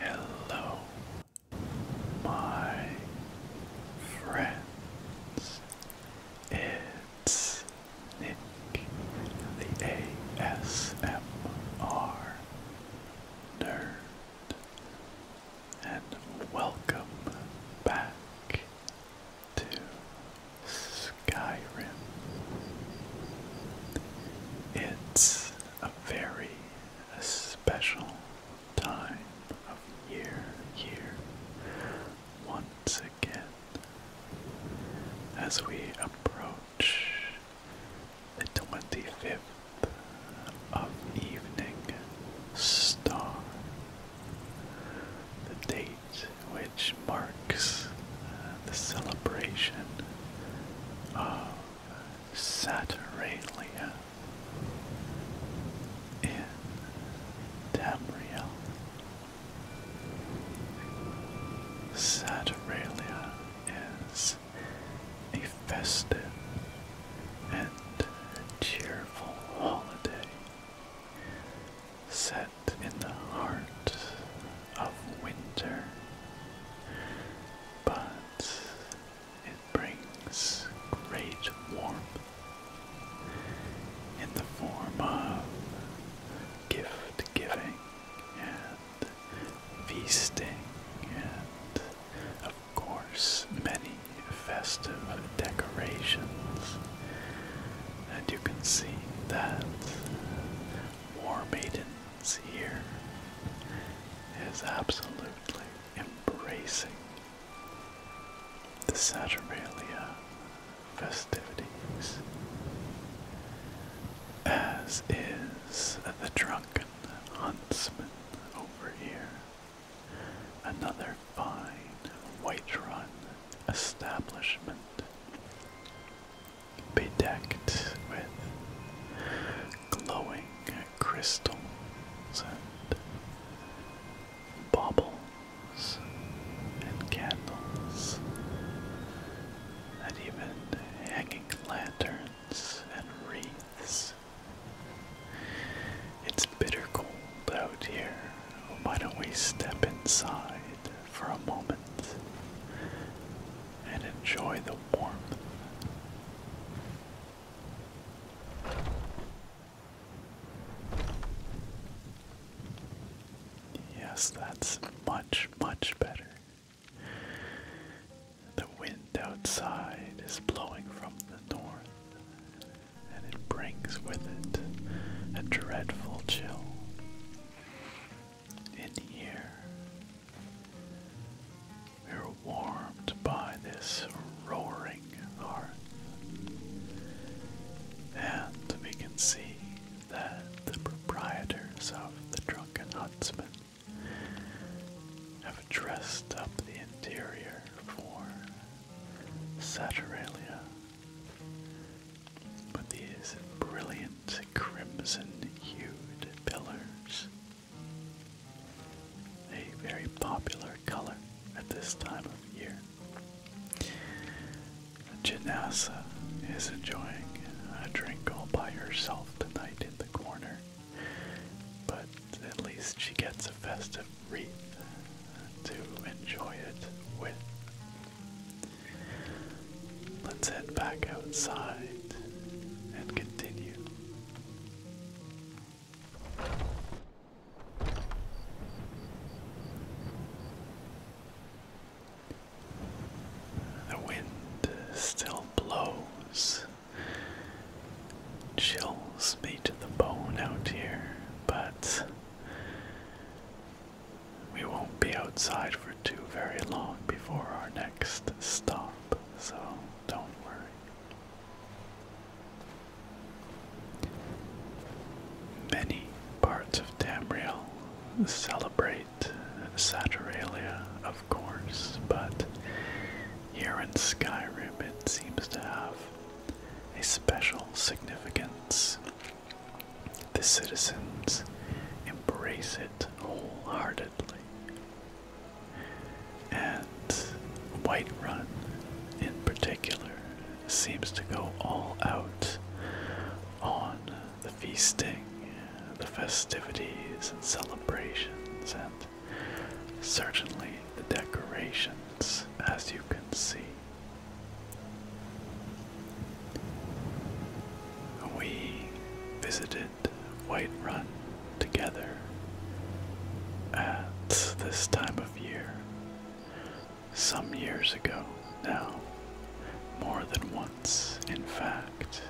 Hello, my friends. It's Nick, the ASMR nerd, and welcome back to Skyrim. It's a very special time of year here once again as we approach the twenty fifth of evening star, the date which marks uh, the celebration of Saturnalia in Tamriel. Saturnalia is a festive and cheerful holiday set in the heart of winter, but it brings great warmth in the form of gift giving feasting, and of course, many festive decorations. And you can see that War Maidens here is absolutely embracing the Saturnalia festivities as is the drunken huntsman over here. Another fine white run establishment bedecked with glowing crystals and baubles and candles and even hang lanterns and wreaths. It's bitter cold out here. Why don't we step inside for a moment and enjoy the warmth? Yes, that's much, much better. The wind outside is blowing from the north, and it brings with it a dreadful chill. In here, we are warmed by this roaring hearth, and we can see that the proprietors of the Drunken Huntsman have dressed up the interior for Saturnalia, with these brilliant crimson-hued pillars, a very popular color at this time of year. Janasa is enjoying a drink all by herself tonight in the corner, but at least she gets a festive wreath to enjoy it with. Let's head back outside and continue. The wind still blows, chills me to the bone out here, but we won't be outside for too very long before our next stop, so don't worry. Many parts of Tamriel celebrate white of course, but here in Skyrim it seems to have a special significance. The citizens embrace it wholeheartedly. And Whiterun, in particular, seems to go all out on the feasting, the festivities and celebrations, and certainly the decorations, as you can see. We visited Whiterun together at this time of year, some years ago now, more than once, in fact.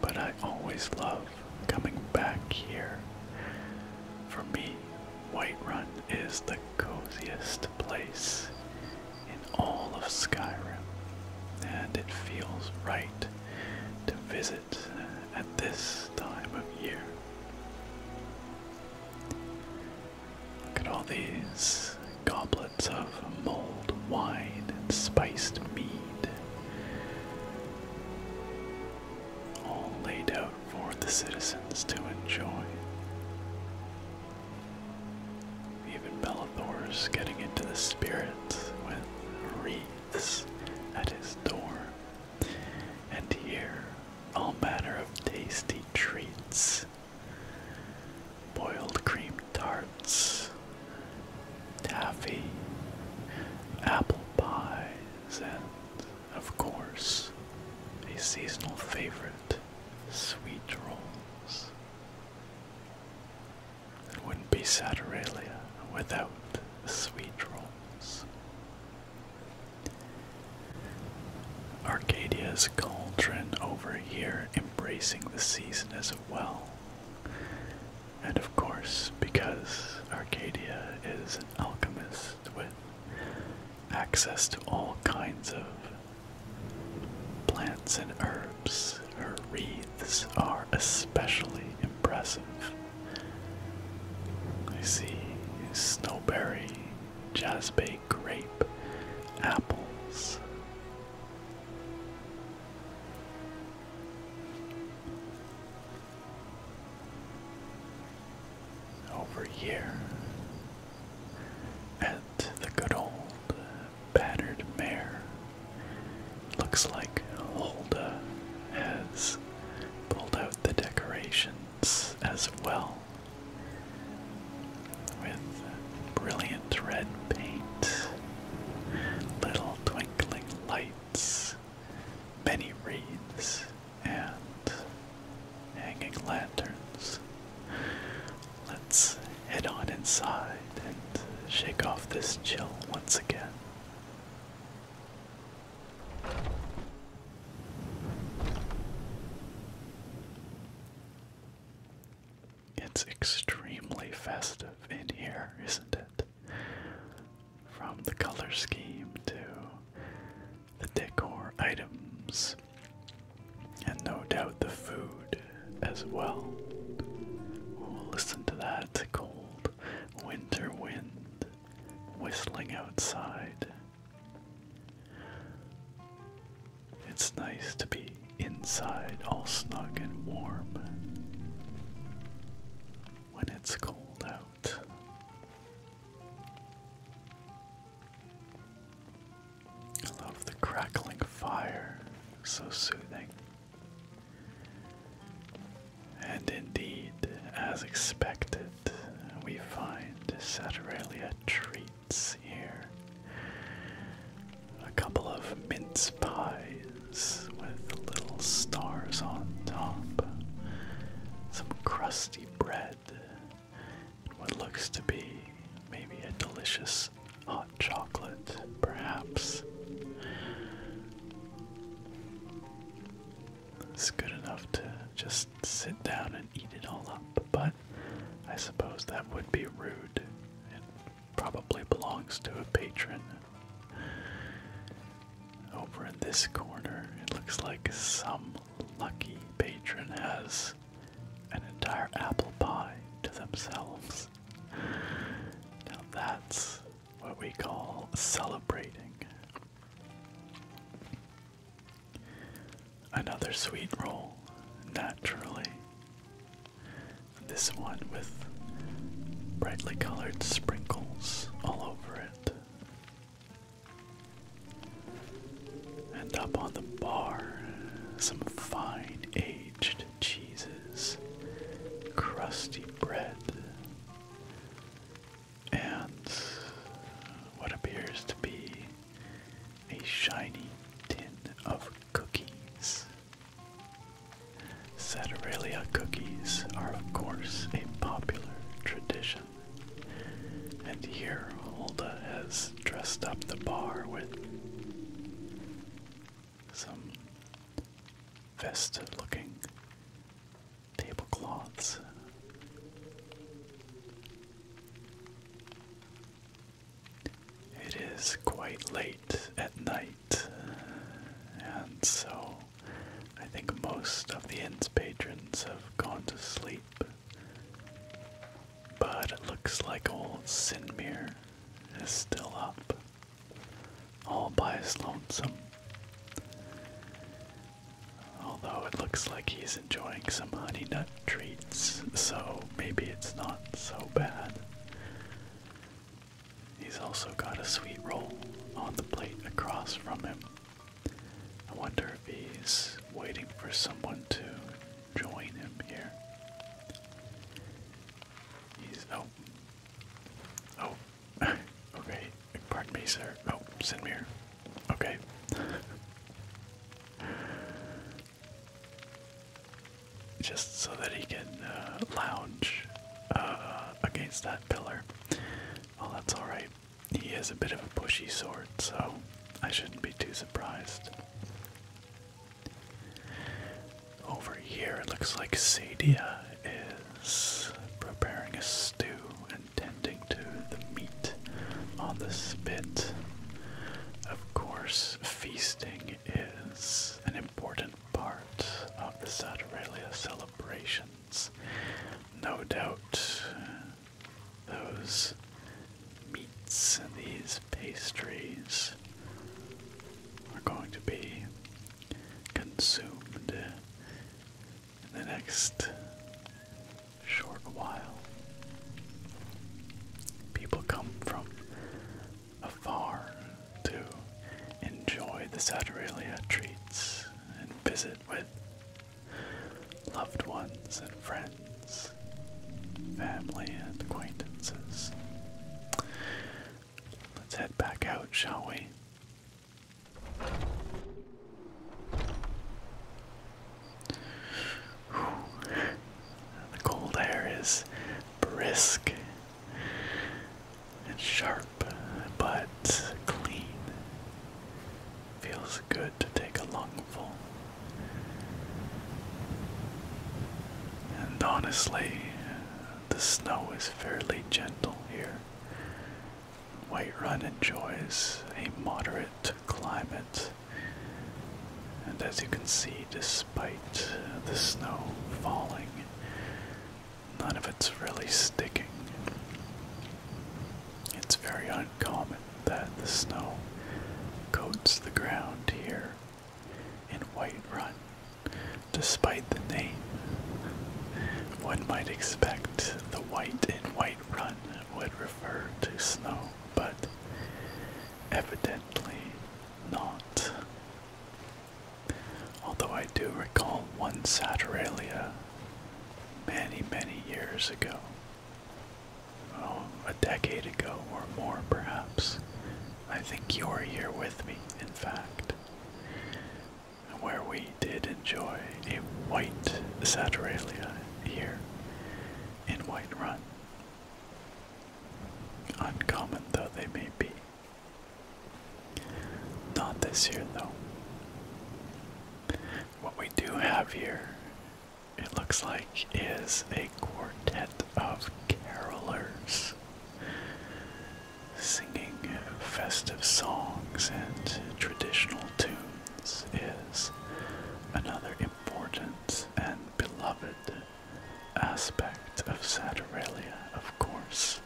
But I always love coming back here. For me, Whiterun is the coziest place in all of Skyrim, and it feels right to visit at this time of year. Look at all these goblets of mulled wine and spiced mead, all laid out for the citizens to enjoy. Even Bellathor's getting into the spirit with wreaths at his door, and here all manner of tasty treats boiled cream tarts, taffy, apple pies, and, of course, a seasonal favorite, sweet rolls. It wouldn't be Saturalia without sweet rolls. Arcadia's cauldron over here embracing the season as well and of course, because Arcadia is an alchemist with access to all kinds of plants and herbs, her wreaths are especially impressive. I see snowberry, jaspe grape, apples. Over here at the good old battered mare. Looks like Holda has pulled out the decorations as well with brilliant red paint, little twinkling lights, many wreaths, and hanging lanterns. Let's head on inside and shake off this chill once again. It's extremely festive in here, isn't it? From the color scheme to the decor items, and no doubt the food as well. We'll listen to that cold winter wind whistling outside. It's nice to be inside all snug and warm when it's cold out. I love the crackling fire, so soothing. And indeed, as expected, we find Saturalia treats here a couple of mince pies with little stars on top, some crusty bread, what looks to be maybe a delicious hot chocolate, perhaps. It's good enough to just sit down and eat it all up, but I suppose that would be rude probably belongs to a patron. Over in this corner, it looks like some lucky patron has an entire apple pie to themselves. Now that's what we call celebrating. Another sweet roll, naturally. This one with brightly colored sprinkles all over it. And up on the bar, some fine aged cheeses, crusty bread, and what appears to be a shiny tin of cookies. Saturalia cookies are, of course, a popular tradition. And here Hulda has dressed up the bar with some festive looking tablecloths. It is quite late at night, and so I think most of the inn's patrons have gone to sleep. But it looks like old Sinmir is still up, all by his lonesome. Although it looks like he's enjoying some honey nut treats, so maybe it's not so bad. He's also got a sweet roll on the plate across from him. I wonder if he's waiting for someone to join him here. He's oh oh okay. Pardon me, sir. Oh, send me here. Okay. just so that he can uh, lounge uh, against that pillar. Well, that's alright. He is a bit of a pushy sort, so I shouldn't be too surprised. Over here, it looks like Sadia is preparing a stew and tending to the meat on the spit. Of course, feasting is an important part of the Saturnalia celebrations. No doubt uh, those meats and these pastries are going to be consumed in the next short while. People come from a farm to enjoy the Saturalia treats and visit with loved ones and friends, family and acquaintances. Let's head back out, shall we? The cold air is brisk it's sharp but clean. Feels good to take a lungful. And honestly, the snow is fairly gentle here. Whiterun enjoys a moderate climate, and as you can see, despite the snow falling, none of it's really sticking. It's very uncommon that the snow coats the ground here in White Run, despite the name. One might expect the white in White Run would refer to snow, but evidently not. Although I do recall one Saturalia many, many years ago. Oh, a decade ago or more, perhaps. I think you were here with me, in fact. Where we did enjoy a white Saturalia here in White Run. Uncommon though they may be. Not this year, though. What we do have here, it looks like, is a quartet of carolers singing festive songs and traditional tunes is another important and beloved aspect of Saturnalia, of course.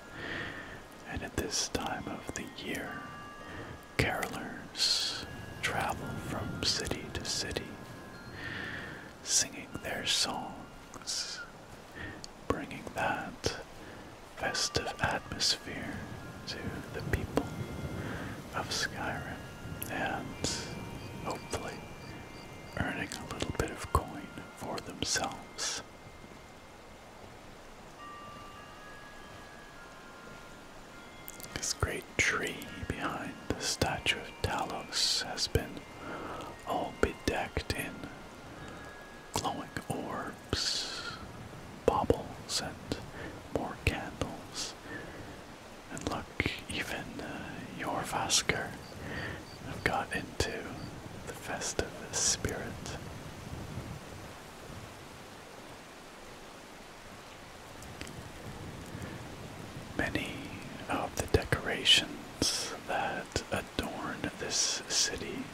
And at this time of the year, carolers travel from city to city, singing their songs, bringing that festive atmosphere to the people of Skyrim, and hopefully earning a little bit of coin for themselves. This great tree behind the statue of Talos has been all bedecked in glowing orbs, baubles, and more candles. And look, even uh, your Vasker I've got into the festive spirit. Many of the decorations that adorn this city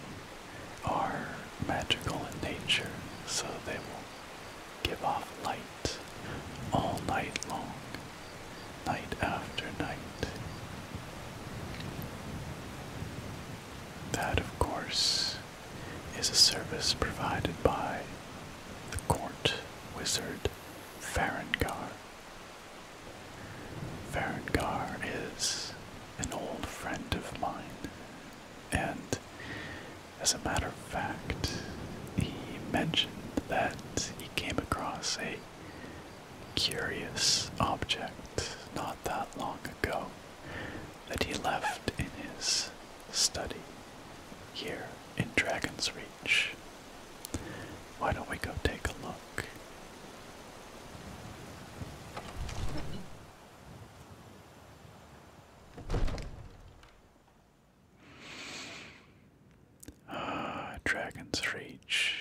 are magical in nature, so they will give off light all night long night after night. That, of course, is a service provided by the court wizard Farangar. Farangar is an old friend of mine, and as a matter of fact, he mentioned that he came across a curious object not that long ago that he left in his study here in Dragon's Reach. Why don't we go take a look? Ah, Dragon's Reach.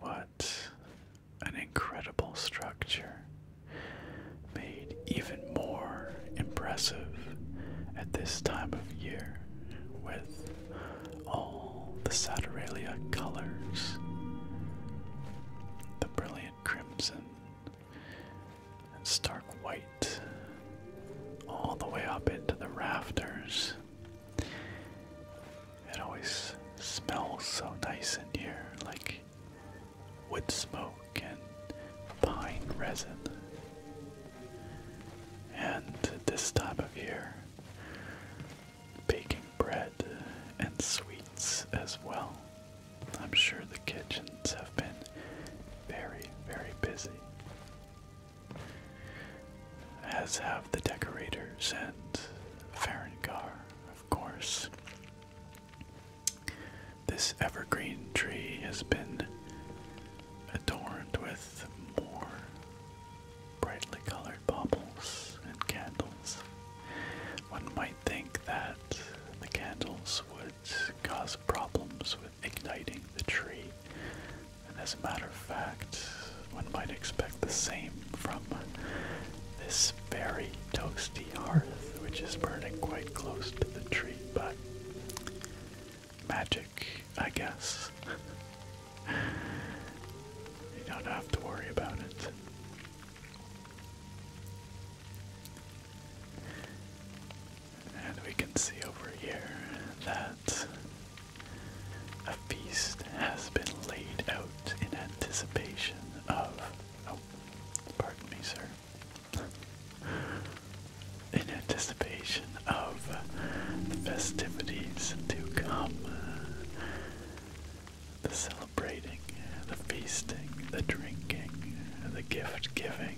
What an incredible structure, made even more impressive at this time of year with all the Saturnalia colors, the brilliant crimson and stark white, all the way up into the rafters. It always smells so nice in here, like wood smoke and pine resin. And this time of year, baking bread and sweets as well. I'm sure the kitchens have been very, very busy as have the decorators and Ferengar, of course. This evergreen tree has been adorned with more brightly colored baubles and candles. One might think that the candles would cause problems with igniting the tree, and as a matter of fact, one might expect the same from this very toasty hearth, which is burning quite close to the tree, but magic, I guess. you don't have to worry about it. And we can see over here that a feast has been laid out in anticipation of. Oh, pardon me, sir. in anticipation of festivities to come. The celebrating, the feasting, the drinking, the gift giving,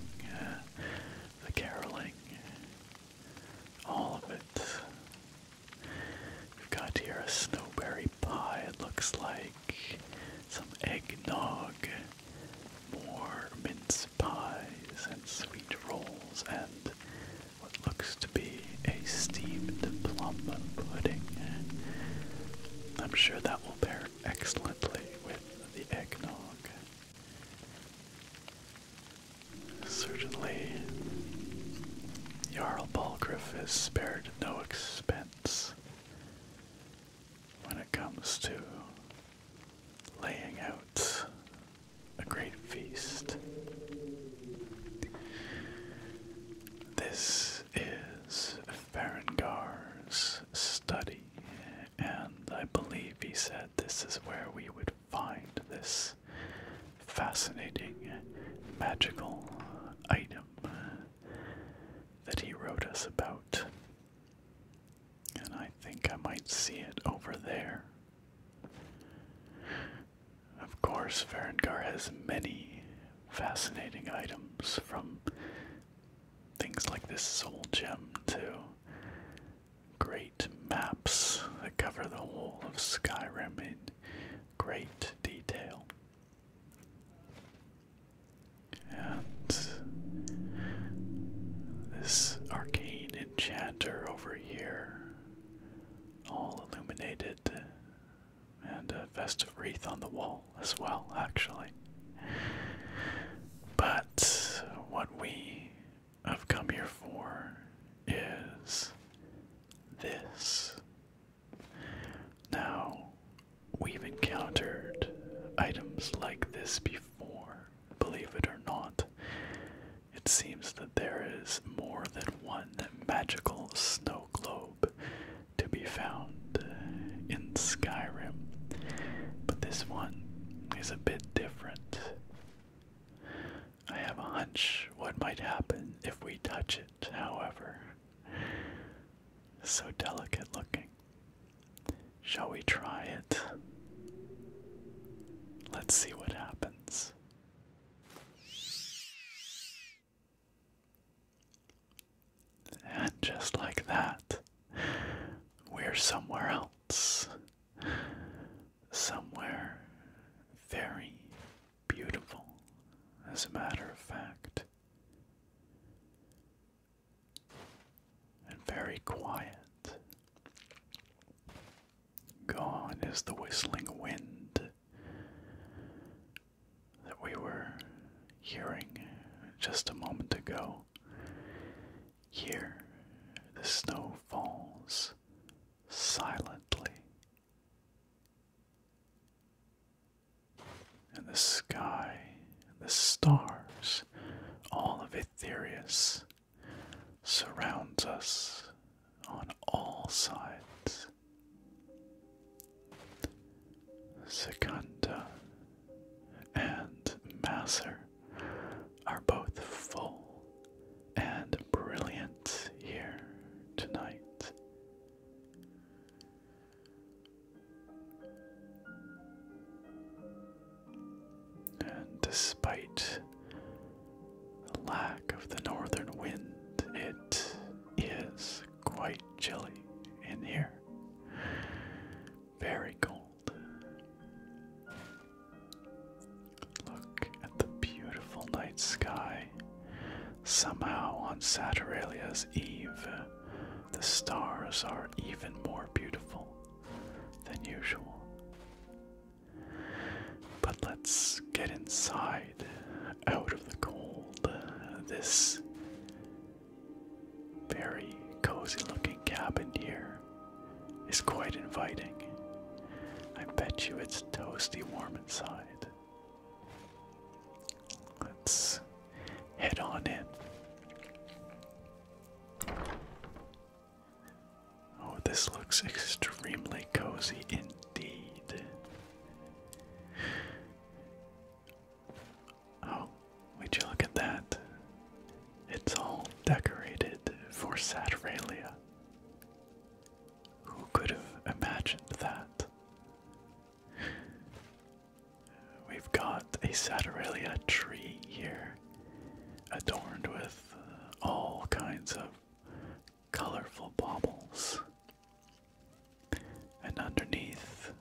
the caroling. All of it We've got here a snowberry pie, it looks like. Some eggnog. More mince pies and sweet rolls and what looks to be a steamed plum pudding. I'm sure that will pair excellently with the eggnog. Certainly, Jarl Balgriff has spared no expense when it comes to laying out a great feast. This is Farangar's study, and I believe he said this is where we would find this fascinating magical item that he wrote us about. And I think I might see it over there. Of course, Ferengar has many fascinating items from things like this soul gem to great maps that cover the whole of Skyrim in great detail. And this arcane enchanter over here, all illuminated, and a festive wreath on the wall as well, actually. But what we have come here for is this. Now, we've encountered items like this before, believe it or not. It seems that there is more than one magical snow globe to be found in Skyrim, but this one is a bit different. I have a hunch what might happen if we touch it it, however, so delicate looking. Shall we try it? Let's see what happens. And just like that, we're somewhere else. Somewhere very, beautiful, as a matter of fact, and very quiet. Gone is the whistling wind that we were hearing just a moment ago. Here, the snow falls silently and the sky, and the stars, all of Itherius surrounds us on all sides. Secunda and Masser are both full and brilliant here tonight. And despite the lack of the northern wind, it is quite chilly in here. Very cold. Look at the beautiful night sky Somehow, on Saturnalia's Eve, the stars are even more beautiful than usual. But let's get inside, out of the cold. This very cozy looking cabin here is quite inviting. I bet you it's toasty warm inside. Let's head on in. Oh, this looks extremely cozy indeed. Oh, would you look at that? It's all decorated for Saturnalia. Who could have imagined that? We've got a Saturralia tree here, adorned with uh, all kinds of colorful baubles. And underneath,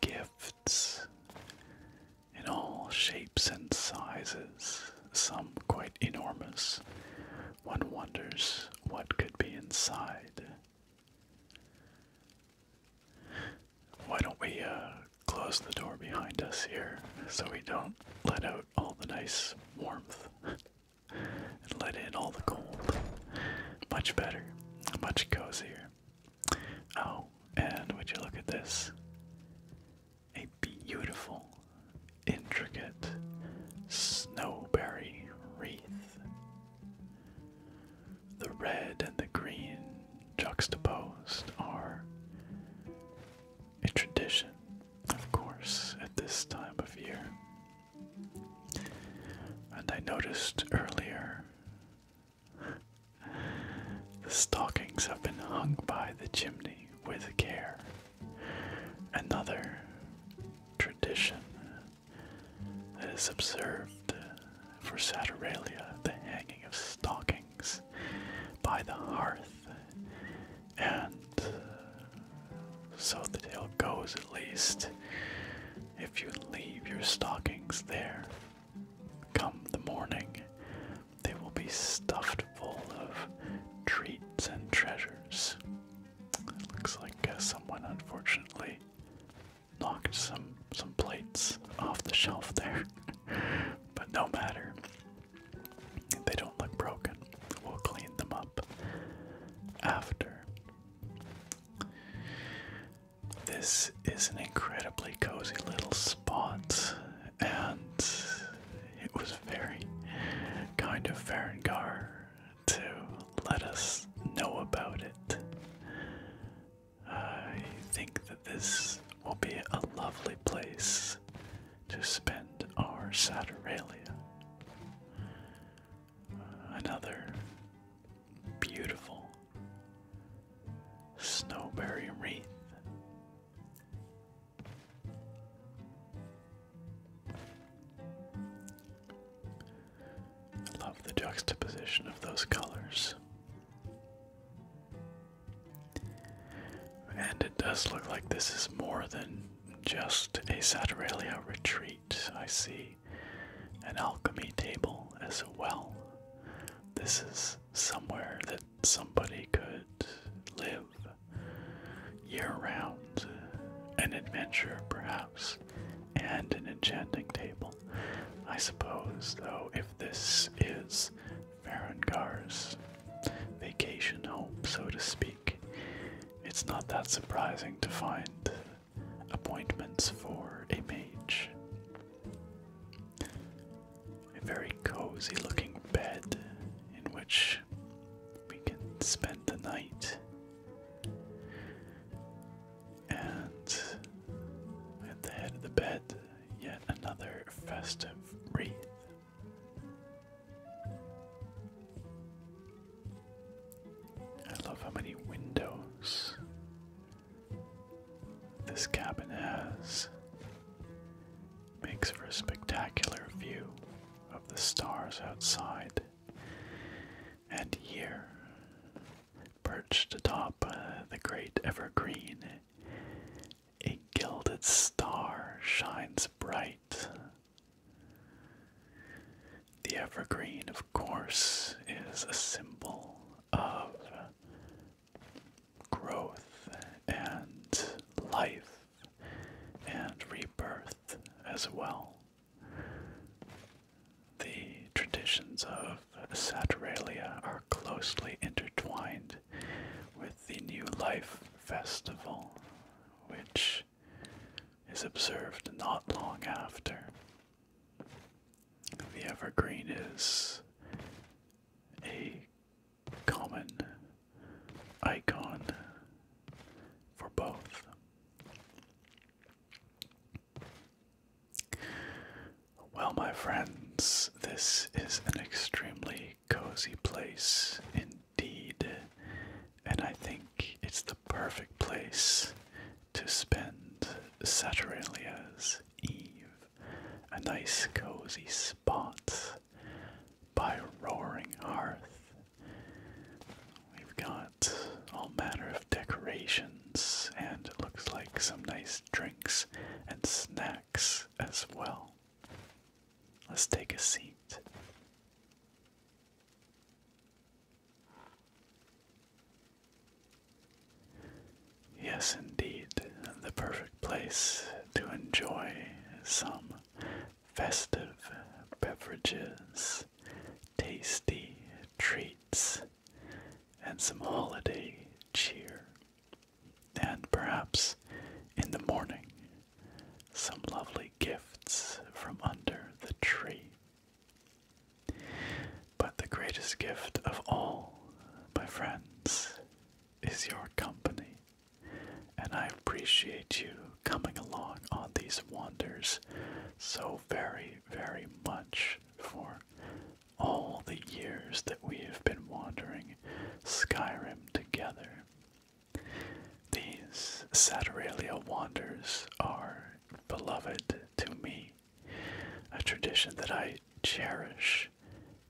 gifts in all shapes and sizes, some quite enormous, one wonders what could be inside. Why don't we uh, close the door behind us here so we don't let out all the nice warmth and let in all the cold? Much better, much cozier. Oh, and would you look at this? A beautiful, intricate snowberry wreath. The red and the green juxtaposed are a tradition, of course, at this time of year. And I noticed earlier the stockings have been hung by the chimney with care. Another tradition that is observed for Saturnalia, the hanging of stockings by the hearth. And uh, so the tale goes, at least, if you leave your stockings there, come the morning, they will be stuffed full of treats and treasures. Looks like uh, someone unfortunately knocked some some plates off the shelf there, but no matter. They don't look broken. We'll clean them up after. This is an incredibly cozy little spot, and it was very kind of Ferengar to let us know about it. I think that this will be a lovely place to spend our Saturnalia. Another beautiful snowberry wreath. I love the juxtaposition of those colors. And it does look like this is more than just a Saturalia retreat. I see an alchemy table as well. This is somewhere that somebody could live year round, uh, an adventure perhaps, and an enchanting table. I suppose, though, if this is Ferengar's vacation home, so to speak, it's not that surprising to find appointments for a mage. A very cozy looking bed in which we can spend the night and at the head of the bed, yet another festive wreath. I love how many windows this cabin has. Makes for a spectacular view of the stars outside and here, perched atop uh, the great evergreen, a gilded star shines bright. The evergreen, of course, is a symbol of growth and life and rebirth as well. The traditions of Saturnalia are closely intertwined with the New Life Festival, which is observed not long after. The evergreen is a common icon for both. Well, my friends, this is an extremely cozy place indeed, and I think it's the perfect place to spend Saturnalia's Eve. A nice cozy spot by roaring hearth We've got all manner of decorations and it looks like some nice drinks and snacks as well. Let's take a seat. Yes, indeed, the perfect place to enjoy some festive beverages tasty treats, and some holiday cheer. And perhaps in the morning, some lovely gifts from under the tree. But the greatest gift of all, my friends, is your company, and I appreciate you coming along on these wanders so very, very much for all the years that we have been wandering Skyrim together. These Saturalia wanders are beloved to me, a tradition that I cherish,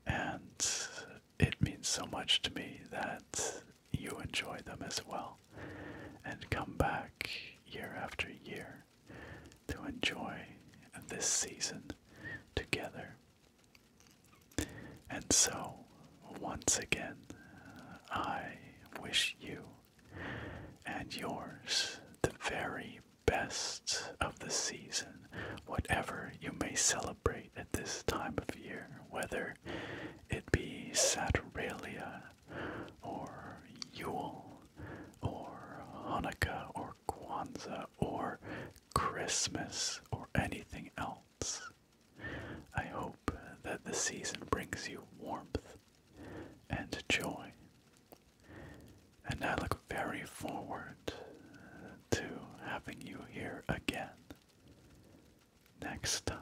and it means so much to me that you enjoy them as well and come back year after year to enjoy this season together. And so, once again, I wish you and yours the very best of the season, whatever you may celebrate at this time of year, whether it be Saturnalia or Yule, or Hanukkah, or Kwanzaa, or Christmas, or anything else. I hope that the season brings you warmth and joy. And I look very forward to having you here again next time.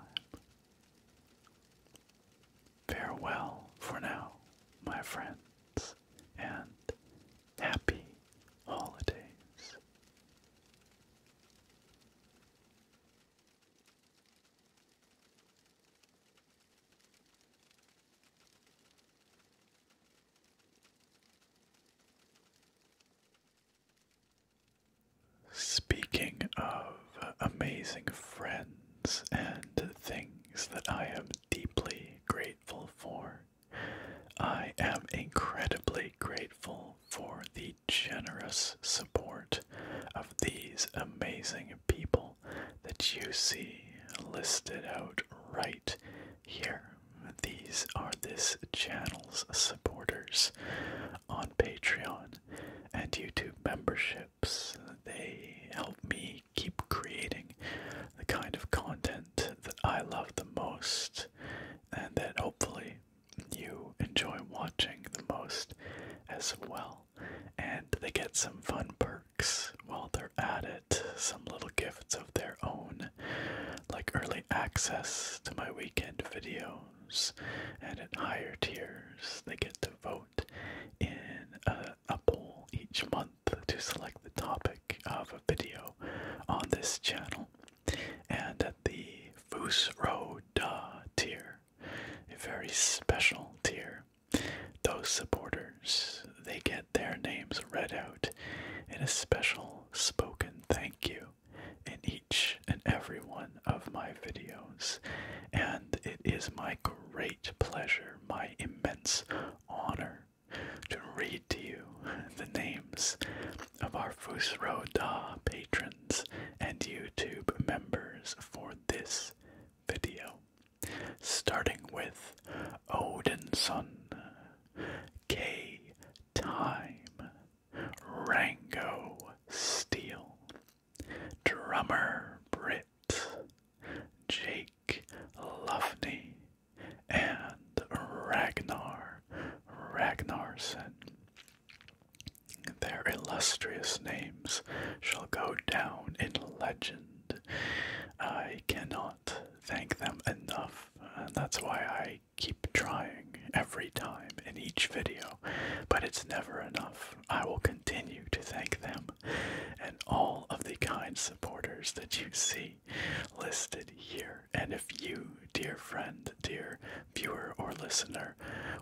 Farewell for now, my friends, and happy holidays. Speaking of amazing friends and things that I am deeply grateful for, I am incredibly grateful for the generous support of these amazing people that you see listed out right here. These are this channel's supporters on Patreon and YouTube membership they help me keep creating the kind of content that I love the most and that hopefully you enjoy watching the most as well. And they get some fun perks while they're at it, some little gifts of their own, like early access to my weekend videos. And at higher tiers, they get to vote in a, poll each month to select the topic of a video on this channel. And at the Fusro Da tier, a very special tier, those supporters they get their names read out in a special spoken thank you in each and every one of my videos, and it is my great pleasure, my immense honor, to read to you the names of our Fusro Da patrons and YouTube members for this video. Starting with Odinson, K Time, Rango Steel, drummer Britt, Jake Lufney, and Ragnar Ragnarsson. Their illustrious names shall go down in legend. I cannot thank them enough, and uh, that's why I keep trying every time in each video, but it's never enough. I will continue to thank them and all of the kind supporters that you see listed here. And if you, dear friend, dear viewer or listener,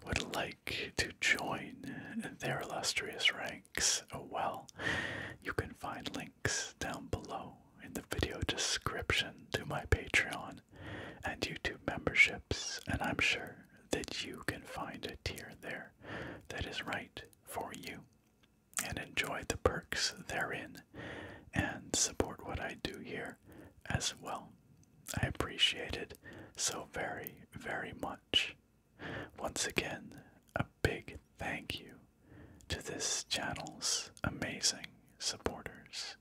would like to join their illustrious ranks, uh, well, you can find links down below in the video description to my Patreon and YouTube memberships, and I'm sure that you can find a tier there that is right for you, and enjoy the perks therein, and support what I do here as well. I appreciate it so very, very much. Once again, a big thank you to this channel's amazing supporters.